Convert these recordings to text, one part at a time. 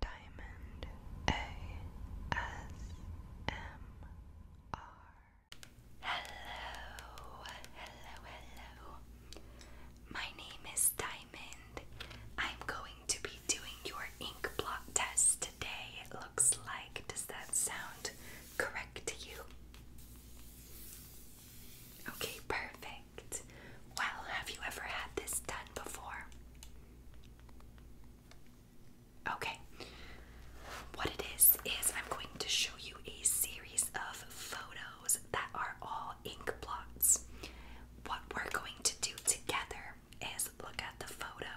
Diamond ASMR. Hello, hello, hello. My name is Diamond. I'm going to be doing your ink blot test today, it looks like. Does that sound correct to you? Okay, perfect. Well, have you ever had this done before? Okay, what it is is I'm going to show you a series of photos that are all ink blots. What we're going to do together is look at the photo.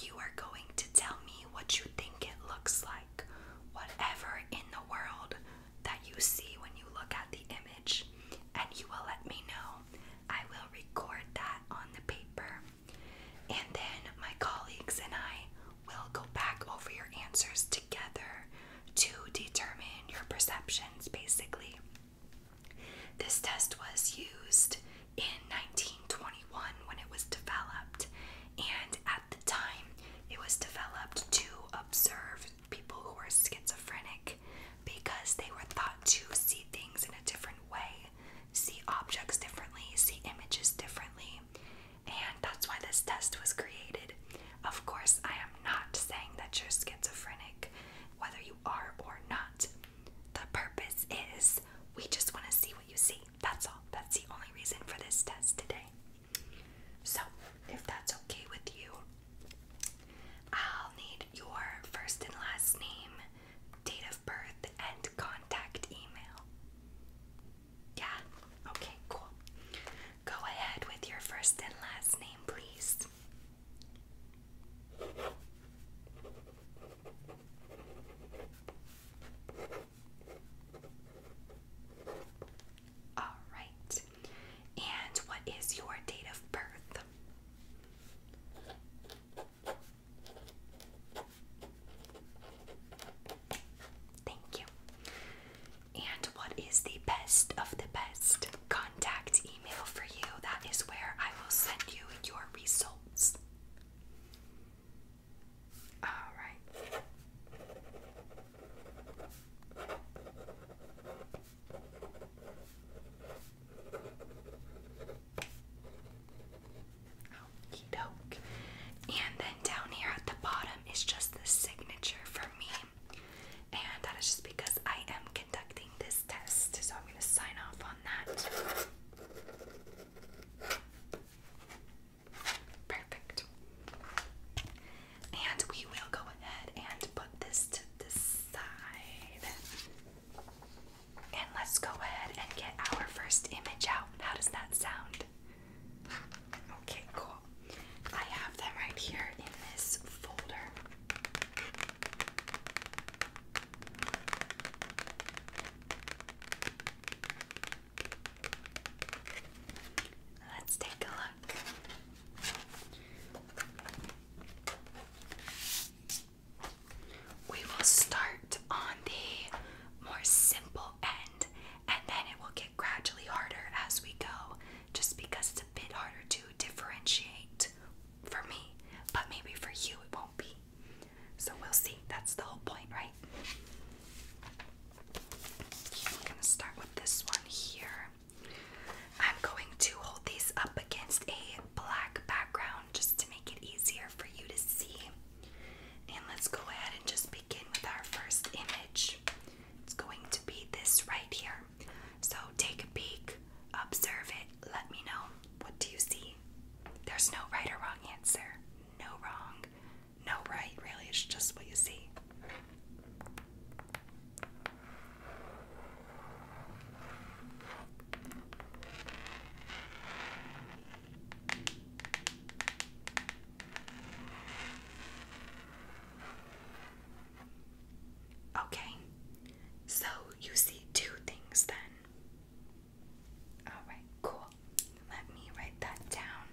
You are going to tell me what you think it looks like, whatever in the world that you see when you look at the image, and you will let me know I will record that on the paper. And then my colleagues and I will go back over your answers together to determine your perceptions, basically. This test was used in 1921 when it was developed, and at the time, it was developed to observe people who were schizophrenic because they were thought to see things in a different way, see objects differently, see images differently, and that's why this test was created. Of course, I am not saying that you're schizophrenic, whether you are or not. The purpose is we just want to see what you see. That's all. That's the only reason for this test today. So, if that's okay with you, I'll need your first and last name, date of birth, and contact email. Yeah? Okay, cool. Go ahead with your first and last name, please. All right. And what is your date of birth? Thank you. And what is the best of the best contact email for you? That is where I will send you your results. All right. Okie doke. And then down here at the bottom is just the signature for me. And that is just because I am conducting this test. So I'm going to sign off on that. Perfect. And we will go ahead and put this to the side. And let's go ahead and get our first image out. How does that sound? Okay, cool. I have them right here in this folder. Let's take a look. We will start on the more simple end and then it will get gradually harder as we go just because it's a bit harder to differentiate for me, but maybe for you it won't be. So we'll see. That's the whole point, right? I'm going to start with this one here. I'm going to hold these up against a black background just to make it easier for you to see. And let's go ahead and just begin with our first image. It's going to be this right here. So take a peek, observe it, let me know. What do you see? There's no right or wrong answer. No wrong, no right, really. It's just what you see. Okay, so you see two things then. Alright, cool. Let me write that down.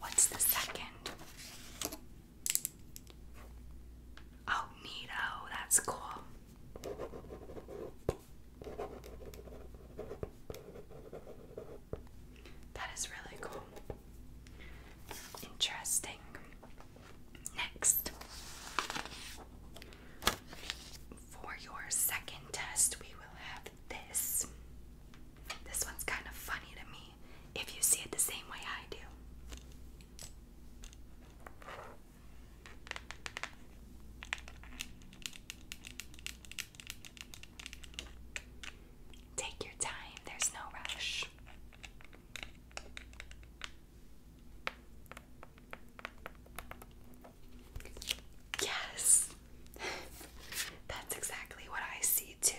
What's the second? Oh, neato, that's cool. That is really cool. Interesting. Next, for your second test, we will have this. This one's kind of funny to me if you see it the same way I do. Take your time, there's no rush. Yes, that's exactly what I see too.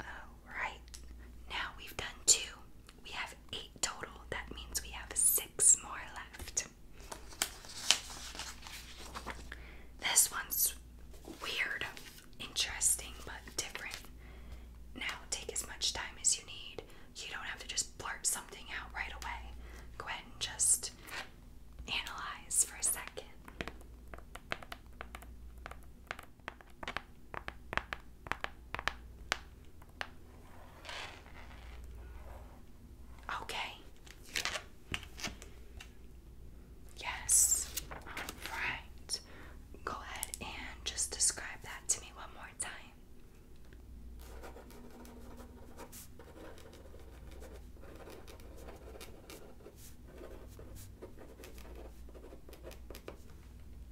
Alright, now we've done two. We have eight total. That means we have six more left. This one's weird, interesting, but different. Now, take as much time as you need. You don't have to just blurt something out right away. Go ahead and just analyze for a second. Okay. Yes. All right. Go ahead and just describe that to me one more time.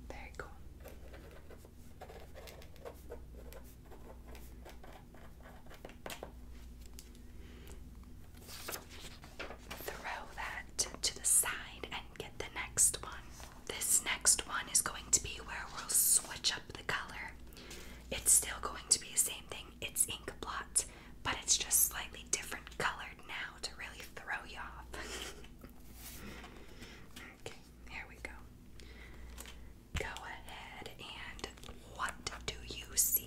Very cool throw that to the side and get the next one. This next one is going to be where we'll switch up the color. It's still going to be the same thing, it's ink blot, but it's just slightly different colored now to really throw you off. okay, here we go. Go ahead and what do you see?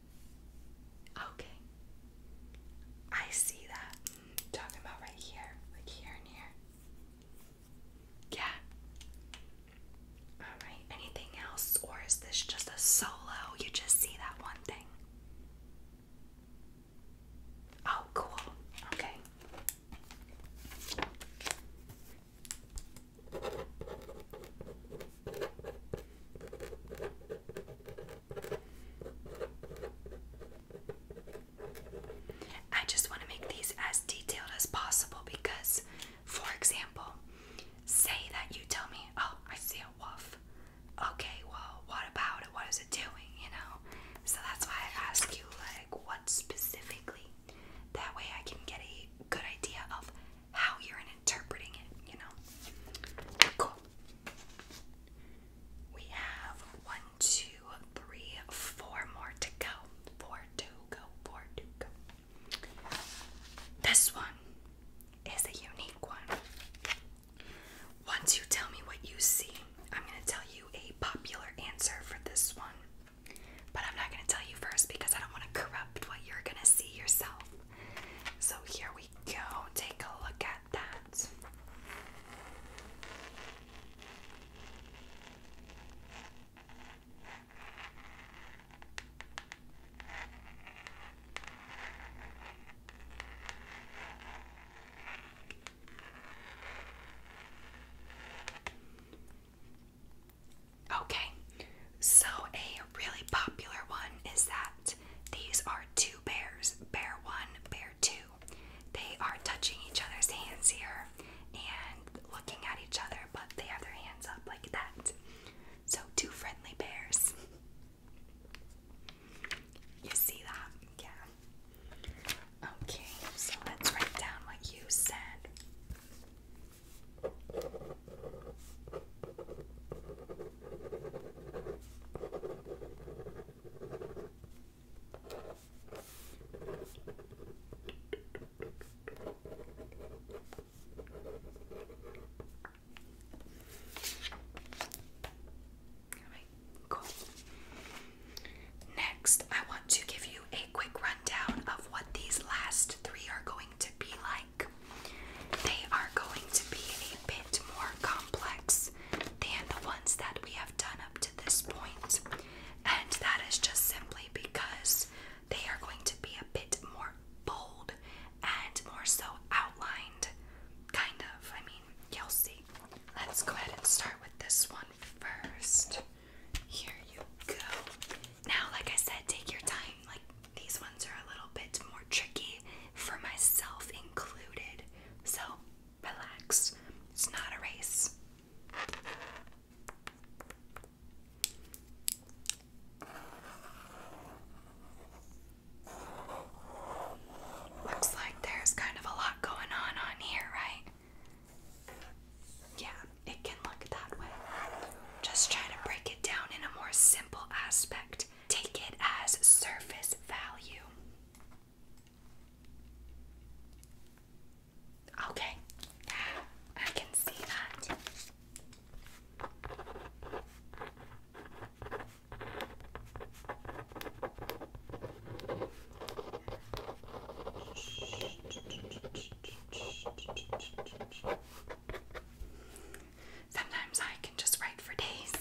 Okay. I see that. Talking about right here, like here and here. Yeah. Alright, anything else? Or is this just a solo? You just see that one thing. Oh, cool. Okay. I just want to make these as detailed as possible because, for example, say that you tell me, oh, I see a wolf. Okay, well, what about it? What is it doing? You know? So that's why I ask you, like, what specifically? That way I can get a good idea of how you're interpreting it, you know? Cool. We have one, two, three, four more to go. Four to go, four to go. This one is a unique one. Once you tell me what you see, I'm going to tell you a popular answer for this one. But I'm not going to tell you first because I don't want to corrupt what you're going to see yourself. So here we go. Take a look at at Okay, so a really popular one is that these are two bears, bear one, bear two. They are touching each other's hands here and looking at each other, but they have their hands up like that. So, two friendly bears. You see that? Yeah. Okay, so let's write down what you said. Next, I want to give you a quick rundown of what these last three are going to be like. They are going to be a bit more complex than the ones that we have done up to this point, and that is just simply because they are going to be a bit more bold and more so outlined. Kind of, I mean, you'll see. Let's go ahead and start with this one first. Here you go. Now, like I said, take your time. Like, these ones are a little bit more tricky for myself included. So relax, it's not a race. Looks like there's kind of a lot going on on here, right? Yeah, it can look that way. Just try to break it down in a more simple aspect Take it as surface value. Okay, I can see that. Sometimes I can just write for days.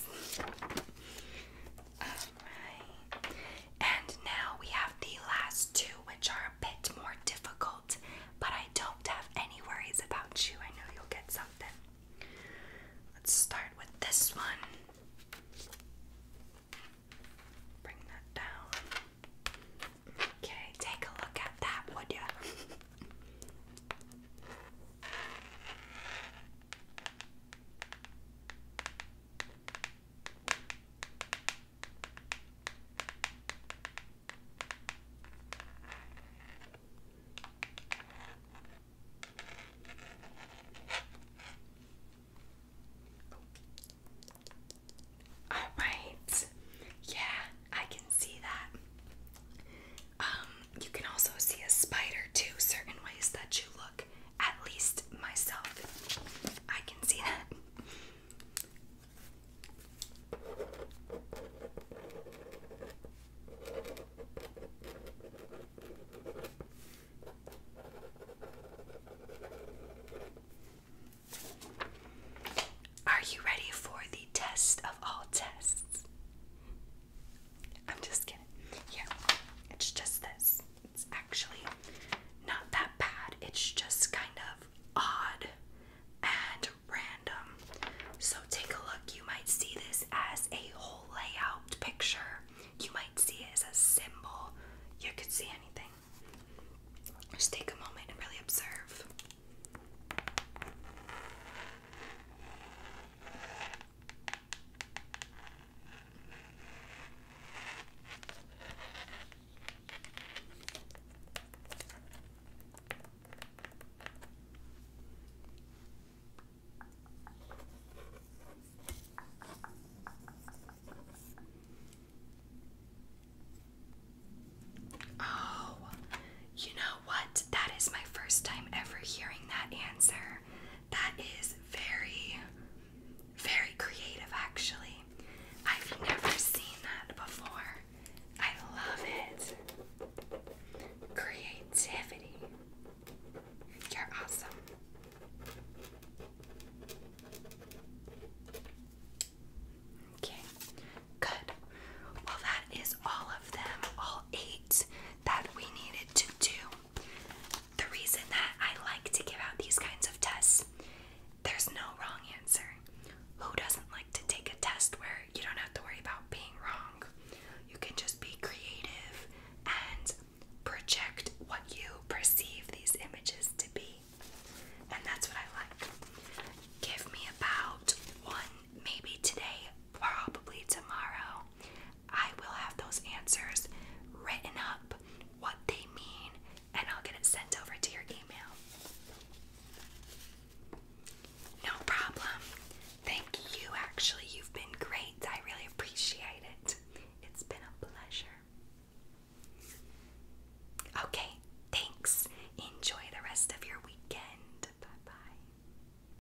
Alright. And now we have the last two, which are a bit more difficult, but I don't have any worries about you. I know you'll get something. Let's start with this one. Bring that down. Okay, take a look at that, would all right. Yeah, I can see that. Um you can also see a spider too, certain ways that you look. At least myself, I can see that. Are you ready for the test of all tests? I'm just kidding. Yeah, it's just this. It's actually not that bad. It's just kind of odd and random. So take a look. You might see this as a whole layout picture. You might see it as a symbol. You could see anything. Just take a moment and really observe. Oh, you know what? That is my first time ever hearing that answer. That is very, very creative, actually. I've never seen that before. I love it. Creativity. You're awesome. Okay, good. Well, that is all of them, all eight that we needed to do. The reason that I like to give out these kinds of tests, there's no wrong answer. Who doesn't like to take a test where you don't have to worry about being wrong? You can just be creative and project what you perceive these images to be. And that's what I like. Give me about one maybe today, probably tomorrow, I will have those answers written up, what they mean, and I'll get it sent over to your email. No problem. Thank you, actually. You've been great. I really appreciate it. It's been a pleasure. Okay, thanks. Enjoy the rest of your weekend. Bye bye.